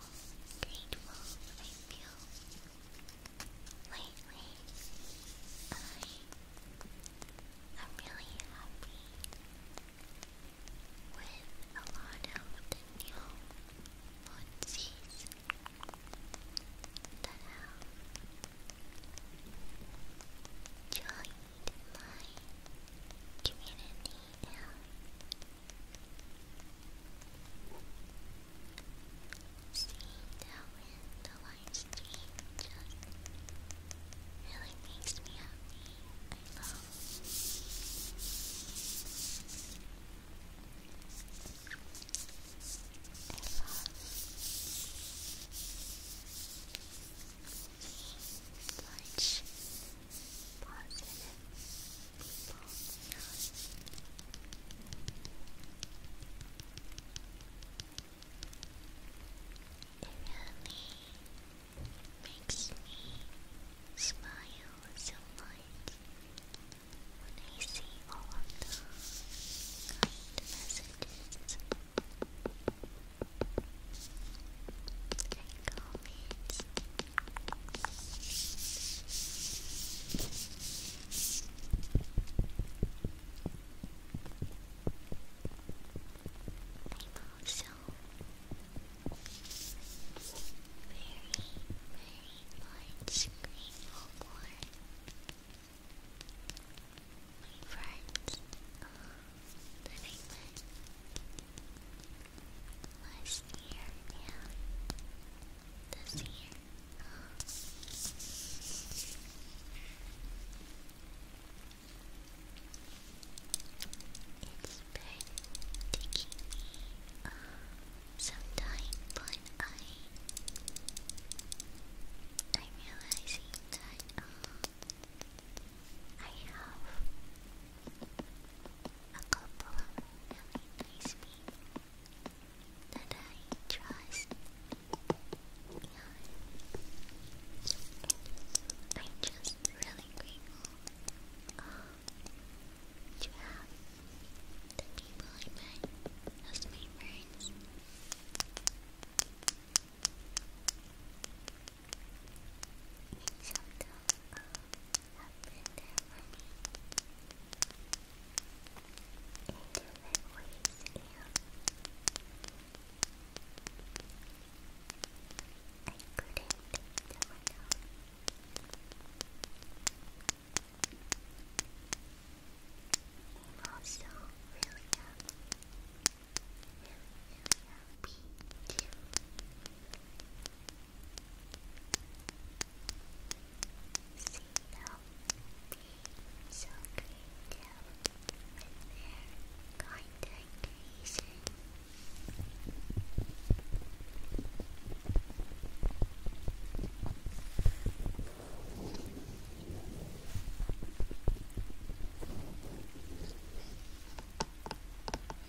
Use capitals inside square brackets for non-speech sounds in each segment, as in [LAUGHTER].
grateful I feel lately. I am really happy with a lot of the new onesies that have joined my community Seeing them in the live just really makes me happy. I love I love positive people. It really makes me smile so much when I see all of the kind messages and comments. 好笑，very very large green board. friends, uh, that Last year, yeah. This year. It's been taking me uh, but I I'm realizing that um, I have a couple of really nice people that I trust. i just really grateful to have the people I met as my friends each of have been there for me in different I couldn't take them enough. I'm also really happy, really, really happy. See them being so great out with their content creation. Thank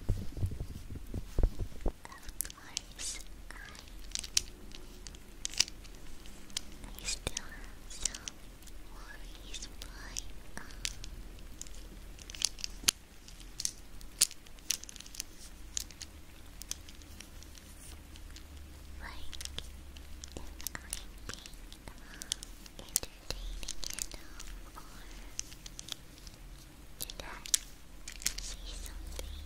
Of course, I, still have some worries, but um, like, if I'm being um, entertaining enough or did I see something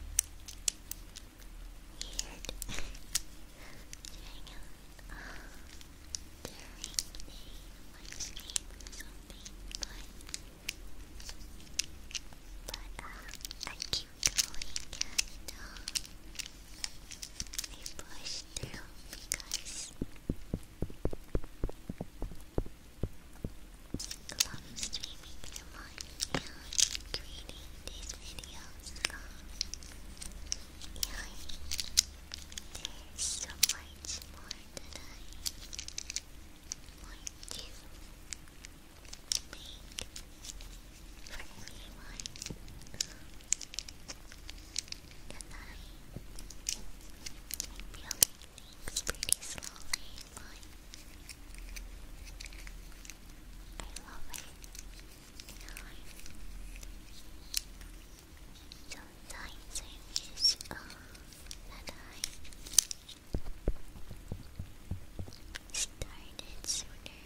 weird during a uh, during the something? But I keep going and I push through because love you so much and creating these videos. Um, there's so much more that I want to make for everyone. Um, I it's pretty slowly, I love it. Sometimes I wish uh, that I started sooner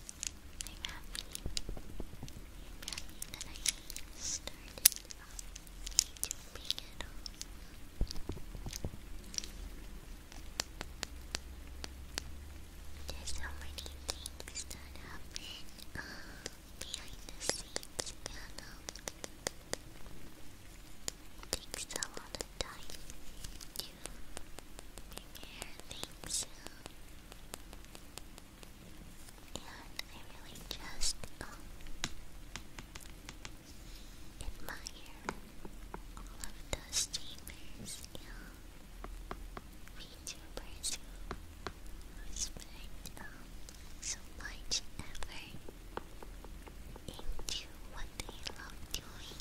wrap There's so many things that happen behind the scenes, you know. It takes a lot of time you. Big hair, thanks. And I really just admire all of those streamers and VTubers who spend so much effort into what they love doing.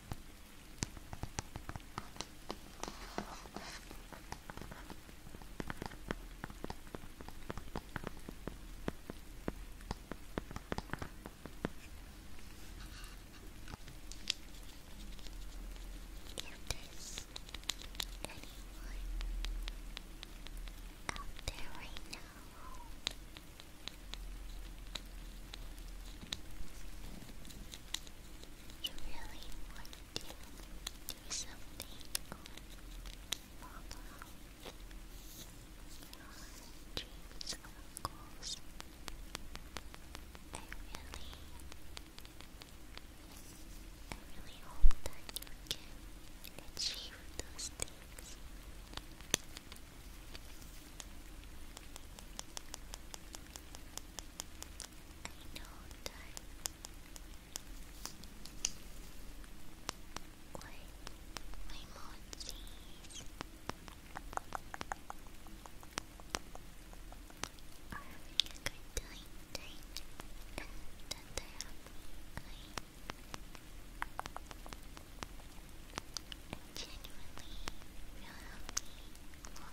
there's anyone out there right now you really want to do something on follow your dreams or really, I really hope that you can achieve those things. I know that Wait, my emojis are having a good time, time. and that they have I genuinely feel healthy along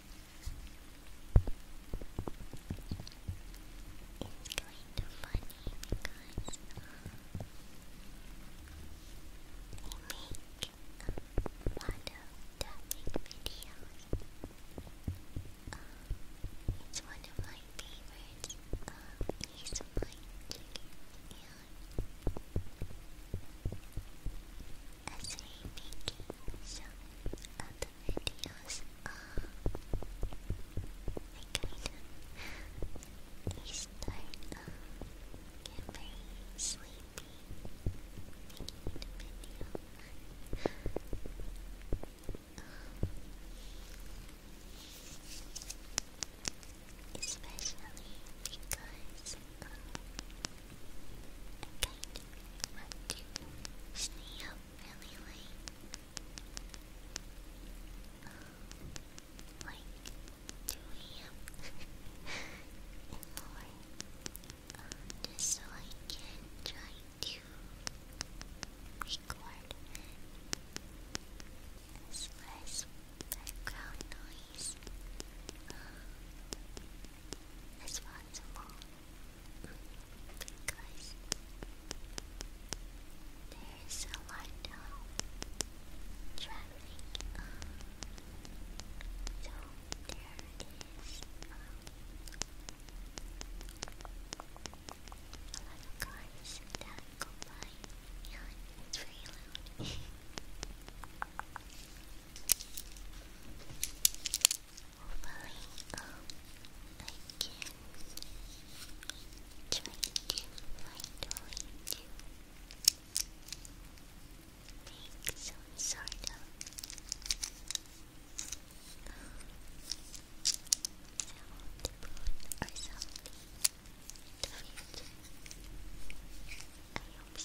It's kind of funny because we make a lot of tapping videos. it's one of my favorites. he's my chicken and as we making some other videos I kind of start uh, sleepy making the video especially because want to stay up really late. Like, 2 a.m. and just so I can try to record as less background noise responsible because there is a lot of traffic. so there is a lot of cars that go it's [LAUGHS] very Hopefully, um, I can try to find a way to make some sort of sound booth or something to fit. I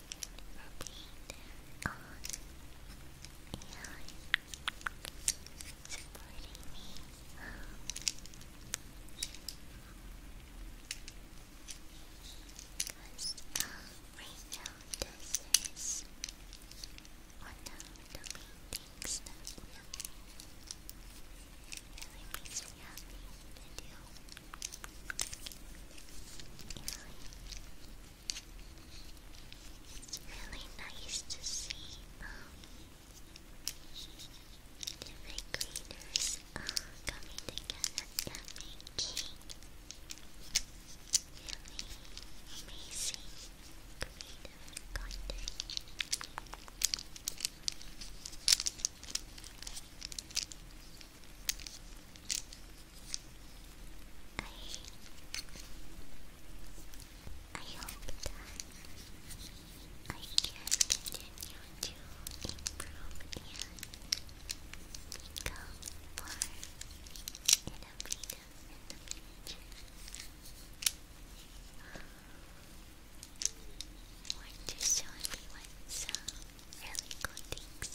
on and supporting me. Because uh, right now, this one of the things that really, makes me happy it's really nice to see um, different creators uh, coming together and making really amazing creative content. I hope I can continue to improve and become more in the future. Want to show everyone some Really good things.